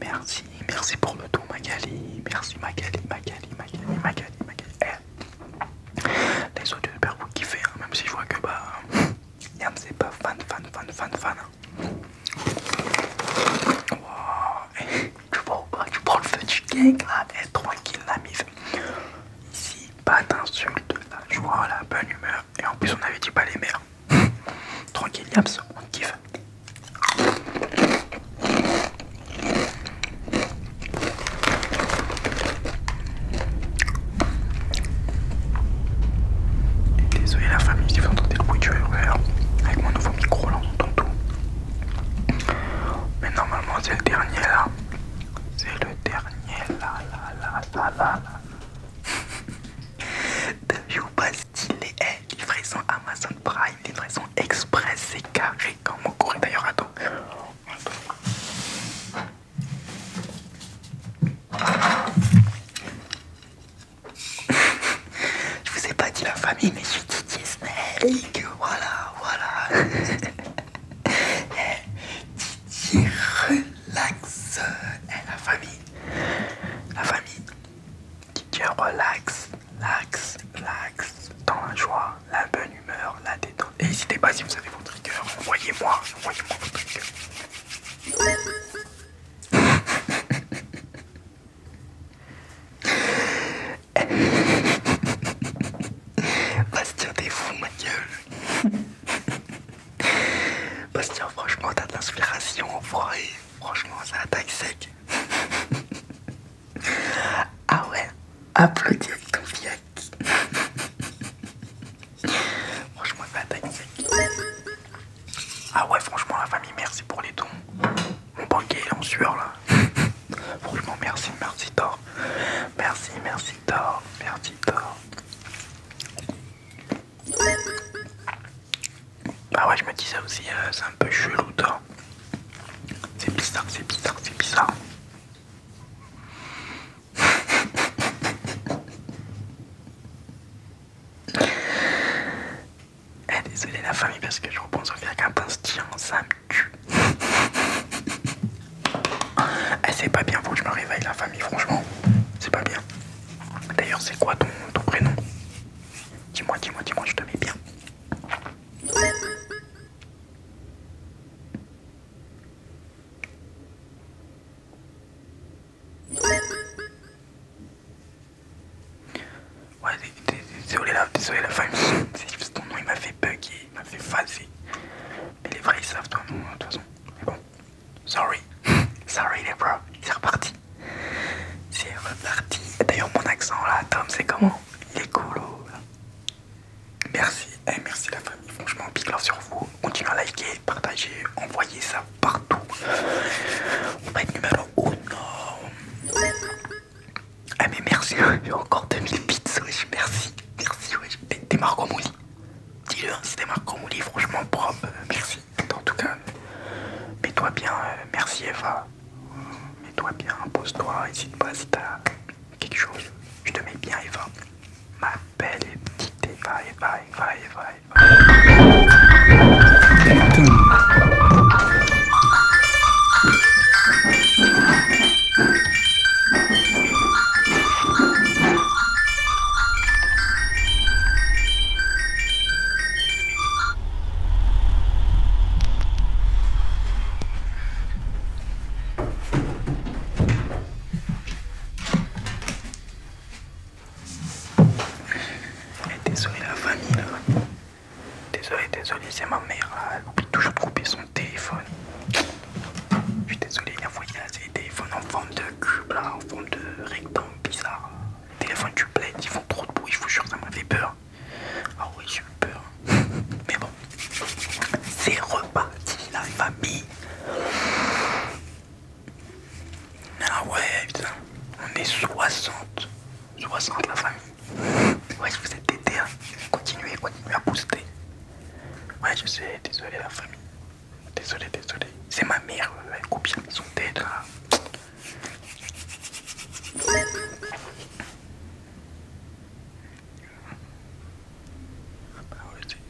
Merci, merci pour le tout Magali, merci Magali, Magali, Magali, Magali, Magali. Eh, les autres youtubeurs, vous kiffez, hein, même si je vois que bah, n'est c'est pas fan, fan, fan, fan, fan. Hein. tu, prends le feu du gang là, eh, tranquille la mise. Ici, pas d'insultes, je vois la bonne humeur, et en plus on avait dit pas les mères. Tranquille Yams, on kiffe désolé la famille si vous entendez le bruit du Avec mon nouveau micro là on tout. Mais normalement c'est le dernier là. C'est le dernier là là là là là là. là là pas eh, Amazon Prime, livraison express, c'est carré comme mon courrier d'ailleurs toi je vous ai pas dit la famille, mais je suis Didier Snake, Voilà, voilà. Didier eh, relax. Eh, la famille. La famille. Didier relax l'axe, l'axe, dans la joie, la bonne humeur, la détente. n'hésitez pas si vous avez vos triggers, envoyez-moi, envoyez-moi votre triggers. Bastien, t'es fou, ma gueule. Bastien, franchement, t'as de l'inspiration en forêt. Franchement, ça attaque sec. Ah ouais, applaudis ton fiac. franchement, mec. Ah ouais, franchement, la famille, merci pour les dons. Mon banquier, est en sueur là. franchement, merci, merci Thor. Merci, merci Thor, merci Thor. Ah ouais, je me dis ça aussi, euh, c'est un peu chelou Thor. C'est bizarre, c'est bizarre, c'est bizarre. eh, désolé la famille parce que je repense au fait qu'un ça me tue. Eh, c'est pas bien, faut que je me réveille la famille, franchement. C'est pas bien. D'ailleurs, c'est quoi ton, ton prénom Dis-moi, dis-moi, dis-moi, je te mets bien. Ouais, désolé la, désolé la famille, Si ton nom, il m'a fait bugger, il m'a fait faser. Mais les vrais savent ton nom de toute façon. Mais bon, sorry, sorry les bros, c'est reparti. C'est reparti. D'ailleurs, mon accent là, Tom, c'est comment Il est cool. Oh, merci, eh, merci la famille. Franchement, big love sur vous. Continuez à liker, partager, envoyer ça partout. On va être numéro 1. Ah, eh, mais merci, hein. j'ai encore 2000 bits, wesh. Merci, merci, wesh. T'es Marco Mouli. Dis-le, t'es c'était Mouli, franchement propre. Euh, merci. En tout cas, mets-toi bien. Euh, merci, Eva mets toi bien, pose toi hésite pas si t'as quelque chose. Je te mets bien Eva. Ma belle et petite Eva, Eva, Eva, Eva, et désolé la famille là. Désolé, désolé, c'est ma mère là. Elle oublie toujours de couper son téléphone. Je suis désolé, la voyage il y des téléphones en forme de cube là, en forme de rectangle bizarre téléphone duplex, ils font trop de bruit, je vous jure, ça m'avait fait peur. Ah oui, j'ai eu peur. Mais bon, c'est reparti la famille. Ah ouais, putain, on est 60. 60 la famille. Ouais, je vous ai têté, hein. continuez, continuez à booster. Ouais, je sais, désolé la famille. Désolé, désolé. C'est ma mère, euh, elle ils sont maison tête là.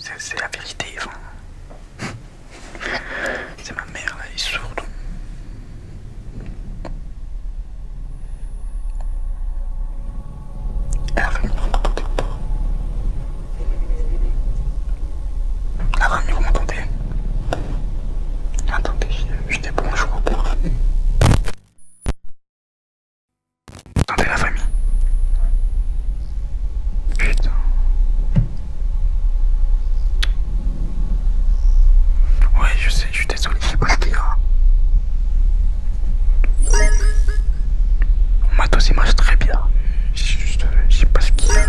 Bah c'est la vérité, c'est ma mère là, elle est sourde. Ah, la ah, famille, vous m'entendez Attendez, je bonjour. je Vous Attendez la famille. Putain. Ouais, je sais, je suis désolé, c'est pas le hein. Mon matos il marche très bien. J'ai euh, Je sais pas ce qu'il y a.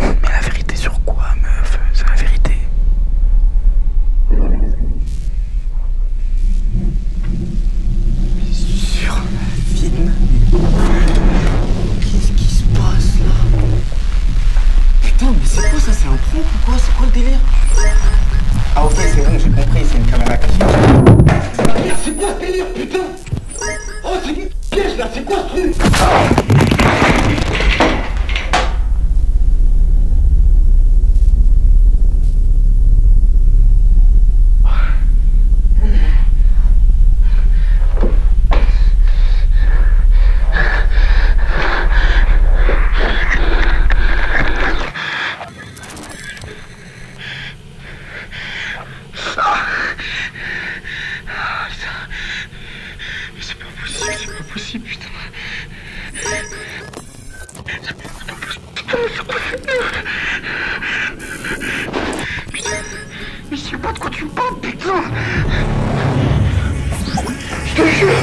Mais la vérité sur quoi, meuf C'est la vérité. Mais sur la film Qu'est-ce qui se passe là Putain, mais c'est quoi ça C'est un prank ou quoi C'est quoi le délire Ah, fait c'est bon, j'ai compris, c'est une caméra cachée. C'est quoi le délire, putain Oh, c'est une piège là, c'est construit Putain, mais c'est pas possible, c'est pas possible, putain. Mais c'est pas possible, putain, c'est pas possible, putain. Mais c'est pas de quoi tu parles, putain. Je te jure.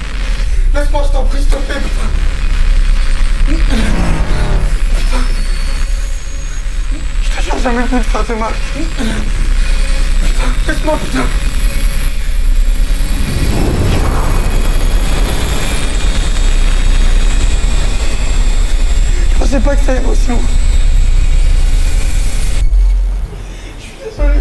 Laisse-moi, je t'en prie, s'il te putain. Je te jure, jamais ça te faire de Laisse-moi, putain. Je pensais pas que ça émotion. Je suis désolé.